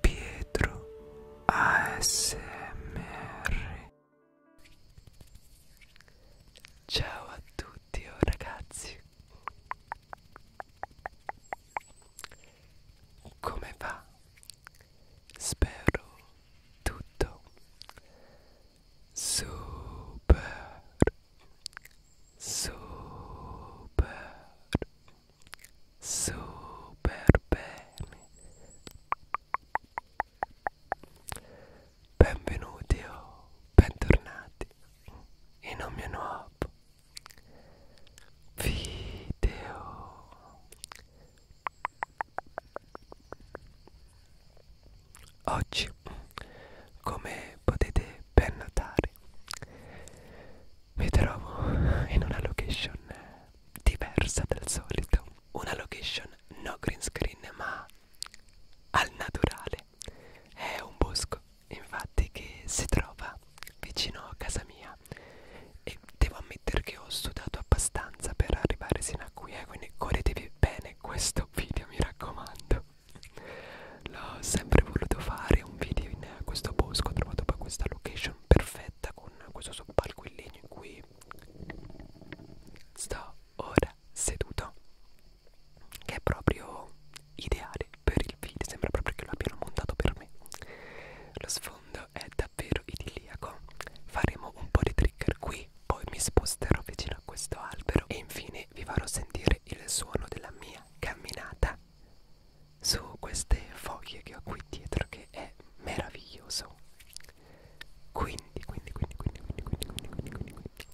Pietro ASMR Ciao a tutti oh ragazzi Come va? Spero tutto super super super bene benvenuti o bentornati in un mio nuovo video oggi come potete ben notare mi trovo in una location diversa dal solito una location no green screen ma al naturale è un bosco infatti che si trova vicino a casa mia e devo ammettere che ho sudato abbastanza per arrivare sino a qui eh, quindi godetevi bene questo video mi raccomando l'ho sempre voluto fare fare un video in questo bosco ho trovato poi questa location perfetta con questo soppalco in legno in cui sto ora seduto che è proprio ideale per il video sembra proprio che lo abbiano montato per me lo sfondo è davvero idilliaco faremo un po' di trigger qui poi mi sposterò vicino a questo albero e infine vi farò sentire il suono della mia camminata su queste foglie che ho qui dietro che è meraviglioso quindi quindi quindi quindi quindi quindi quindi quindi, quindi, quindi.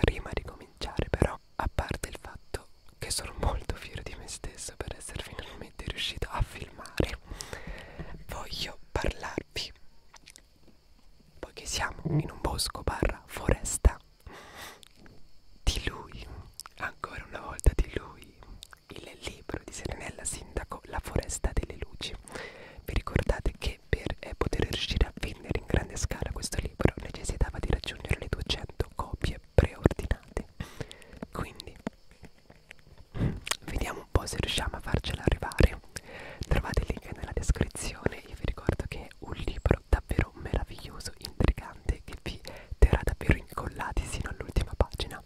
prima di cominciare però a parte il fatto che sono molto fiero di me stesso per essere finalmente riuscito a filmare voglio parlarvi poiché siamo in un bosco barra foresta di lui, ancora una volta di lui, il libro di Serenella Sindaco La foresta delle luci. Vi ricordate che per eh, poter riuscire a vendere in grande scala questo libro necessitava di raggiungere le 200 copie preordinate. Quindi vediamo un po' se riusciamo a farcela arrivare. Trovate il link nella descrizione. Io vi ricordo che è un libro davvero meraviglioso, intrigante che vi terra davvero incollati sino all'ultima pagina.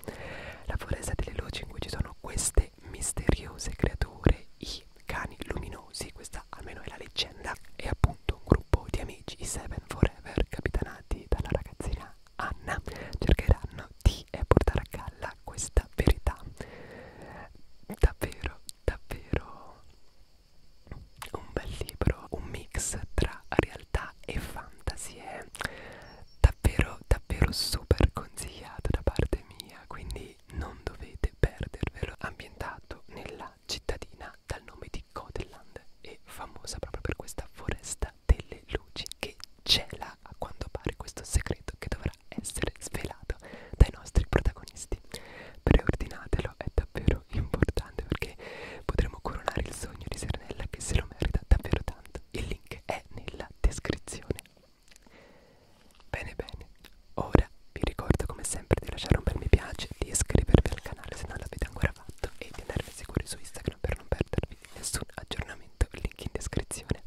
La foresta delle luci in cui ci sono queste misteriose creature, i cani luminosi, questa almeno è la leggenda, è appunto un gruppo di amici, i Seven Forever, capitanati dalla ragazzina Anna, cercheranno di eh, portare a galla questa verità davvero davvero un bel libro un mix tra realismo realtà e fantasy è davvero davvero super consigliato da parte mia quindi non dovete perdervelo ambientato nella cittadina dal nome di Godeland e famosa proprio per questa foresta delle luci che cela a quanto pare questo segreto che dovrà essere svelato dai nostri protagonisti preordinatelo è davvero importante importante perché potremo coronare il sogno di Serenella che se lo merita davvero tanto. Il link è nella descrizione. Bene bene, ora vi ricordo come sempre di lasciare un bel mi piace, di iscrivervi al canale se non l'avete ancora fatto e di andarmi a seguire su Instagram per non perdervi nessun aggiornamento, link in descrizione.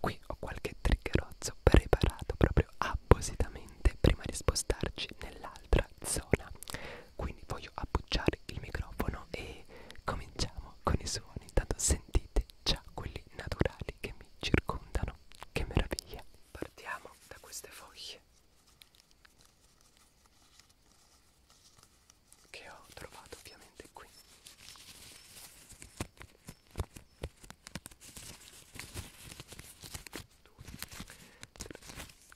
Qui ho qualche triggerozzo preparato proprio appositamente prima di spostarci nell'altra zona quindi voglio appoggiare il microfono e cominciamo con i suoni tanto sentite già quelli naturali che mi circondano che meraviglia partiamo da queste foglie che ho trovato ovviamente qui due, tre,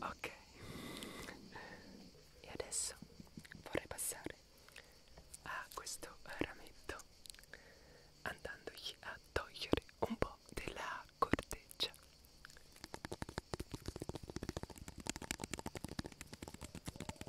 Ok, e adesso vorrei passare a questo rametto andandogli a togliere un po' della corteccia.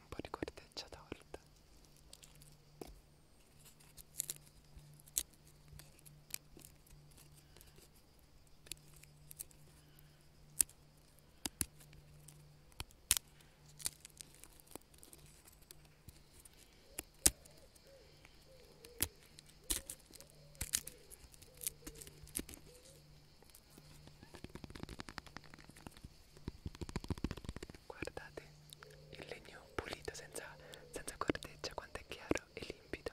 un po' di corteccia torta Guardate il legno pulito senza, senza corteccia, quanto è chiaro e limpido.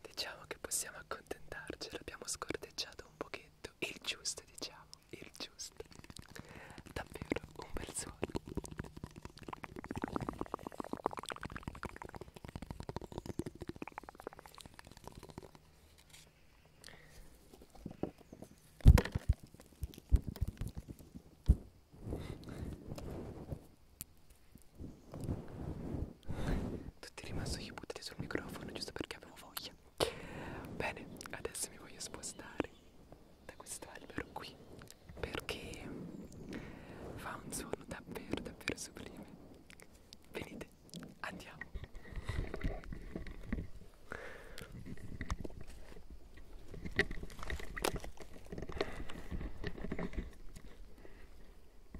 Diciamo che possiamo accontentarci, l'abbiamo scorteggiato un pochetto, il giusto diciamo, il giusto. Davvero un bel suono tutti rimasugli buttati sul microfono giusto perché avevo voglia bene adesso mi voglio spostare da questo albero qui perché fa un suono davvero davvero sublime venite andiamo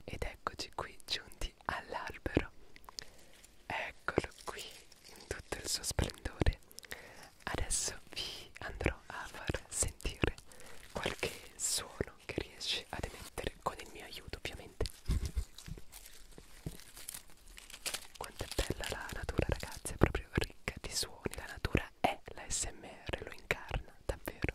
ed eccoci qui giunti davanti all'albero. Eccolo qui in tutto il suo splendore. Adesso vi andrò a far sentire qualche suono che riesce ad emettere con il mio aiuto, ovviamente. Quanto è bella la natura, ragazzi, è proprio ricca di suoni. La natura è l'ASMR, lo incarna davvero.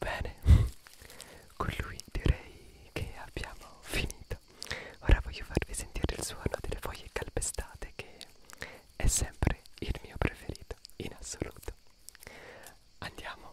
Bene, con lui direi che abbiamo finito. Ora voglio farvi sentire il suono delle foglie calpestate che è sempre il mio preferito in assoluto. Andiamo.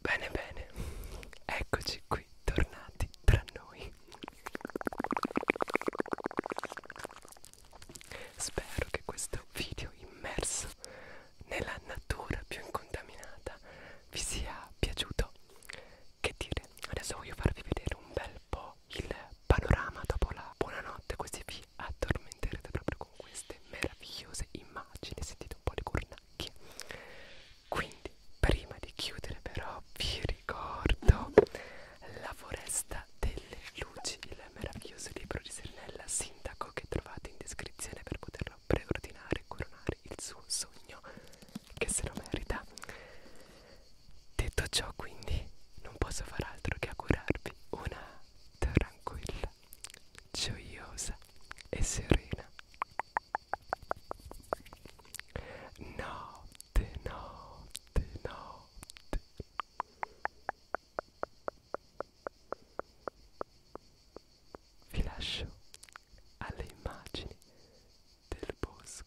Bene bene, eccoci qui, tornati tra noi. Spero che questo video immerso nella natura più incontaminata vi sia piaciuto. Che dire, adesso voglio farvi vedere un bel po' il panorama dopo la buonanotte, così vi addormenterete proprio con queste meravigliose immagini. Sentite un po' le cornacchie. Quindi, prima di chiudere, però, vi ricordo la foresta delle luci, il meraviglioso libro di Sernella, sindaco che trovate in descrizione per poterlo preordinare e coronare il suo sogno, che se lo merita. Detto ciò, quindi, non posso far altro che augurarvi una tranquilla, gioiosa e serena notte, notte notte, notte. Vi lascio alle immagini del bosco.